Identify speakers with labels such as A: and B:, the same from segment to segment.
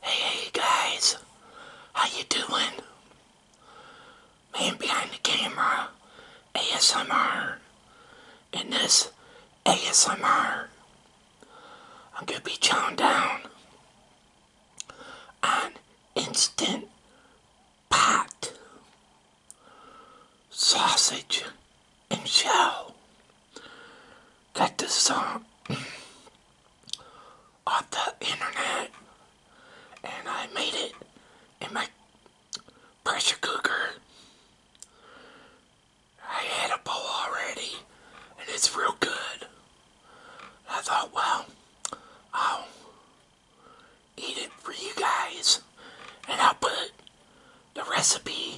A: Hey, hey guys, how you doing? Man behind the camera, ASMR. In this ASMR, I'm gonna be chowing down on instant pot sausage and shell. Got this song off the internet and I made it in my pressure cooker. I had a bowl already and it's real good. I thought, well, I'll eat it for you guys and I'll put the recipe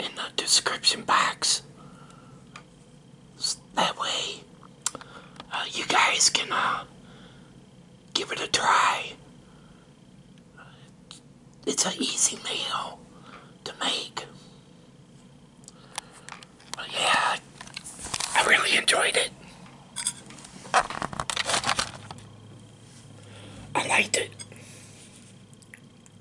A: in the description box. that way, uh, you guys can uh, give it a try. It's an easy meal to make. yeah, I really enjoyed it. I liked it.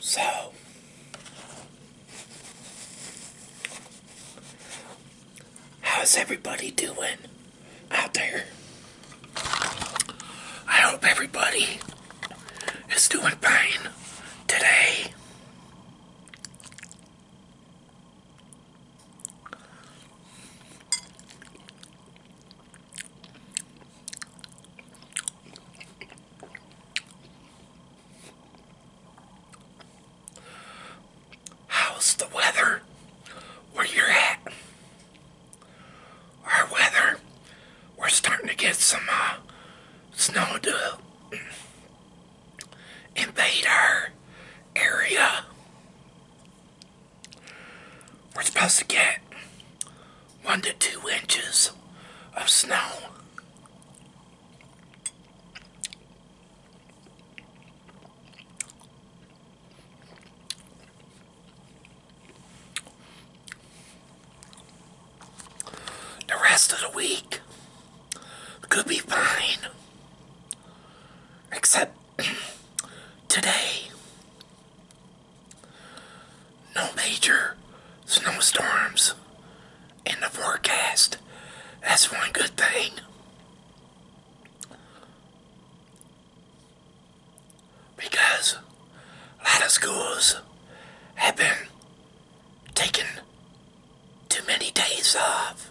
A: So, how's everybody doing out there? I hope everybody is doing fine today. How's the weather where you're at? Our weather, we're starting to get some uh, snow to invade our area. We're supposed to get one to two inches of snow. The rest of the week could be fine. Except today, no major snowstorms in the forecast. That's one good thing. Because a lot of schools have been taking too many days off.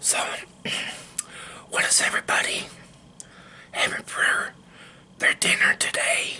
A: So, what is everybody having for their dinner today?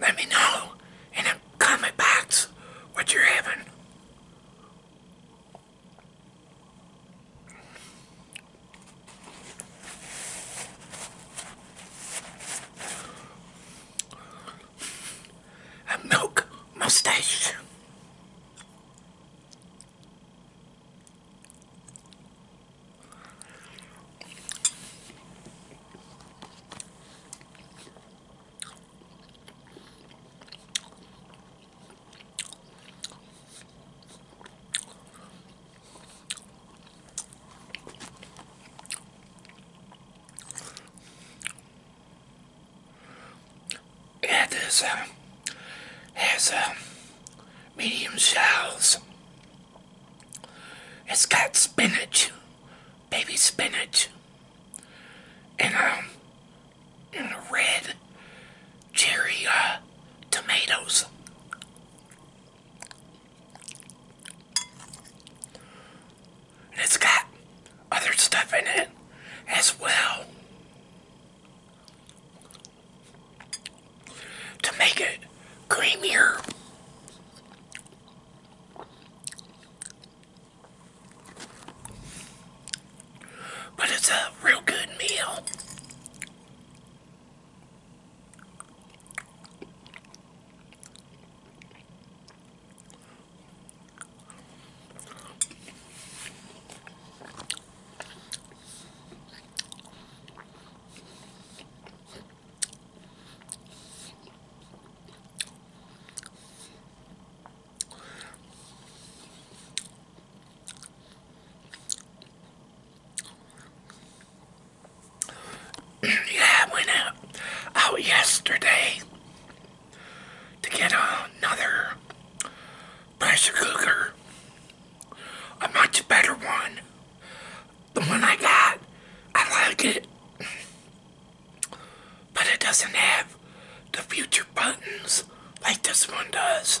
A: Let me know in the comment box what you having. A milk mustache. Yeah, this has uh, uh, medium shells. It's got spinach, baby spinach, and um, and red cherry uh, tomatoes. it's got other stuff in it as well to make it creamier. But it's a real good meal. yeah, went out, out yesterday to get another pressure cooker. A much better one. The one I got, I like it but it doesn't have the future buttons like this one does.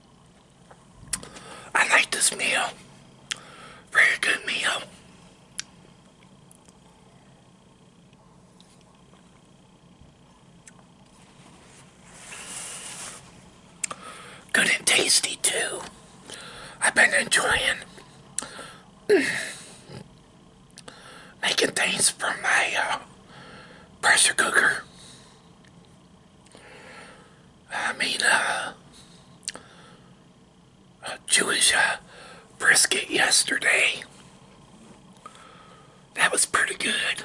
A: I like this meal. Very good meal. Good and tasty too. I've been enjoying making things from my uh, pressure cooker. I mean, uh, a Jewish uh, brisket yesterday. That was pretty good.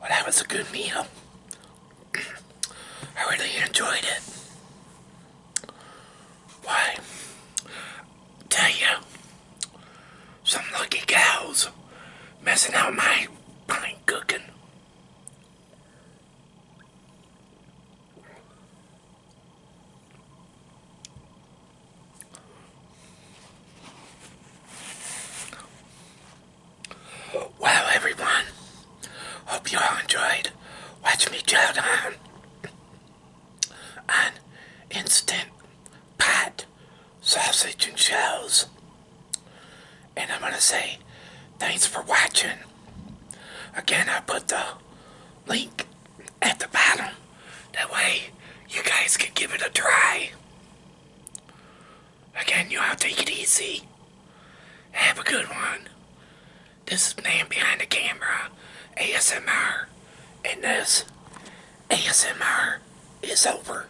A: Well, that was a good meal. I really enjoyed it. Why? Tell you, some lucky gals messing out my fine cooking. Well, everyone, hope you all enjoyed. Watch me chow down on instant pot sausage and shells. And I'm going to say thanks for watching. Again, I put the link at the bottom. That way you guys can give it a try. Again, y'all take it easy. Have a good one. This is Man Behind the Camera, ASMR, and this ASMR is over.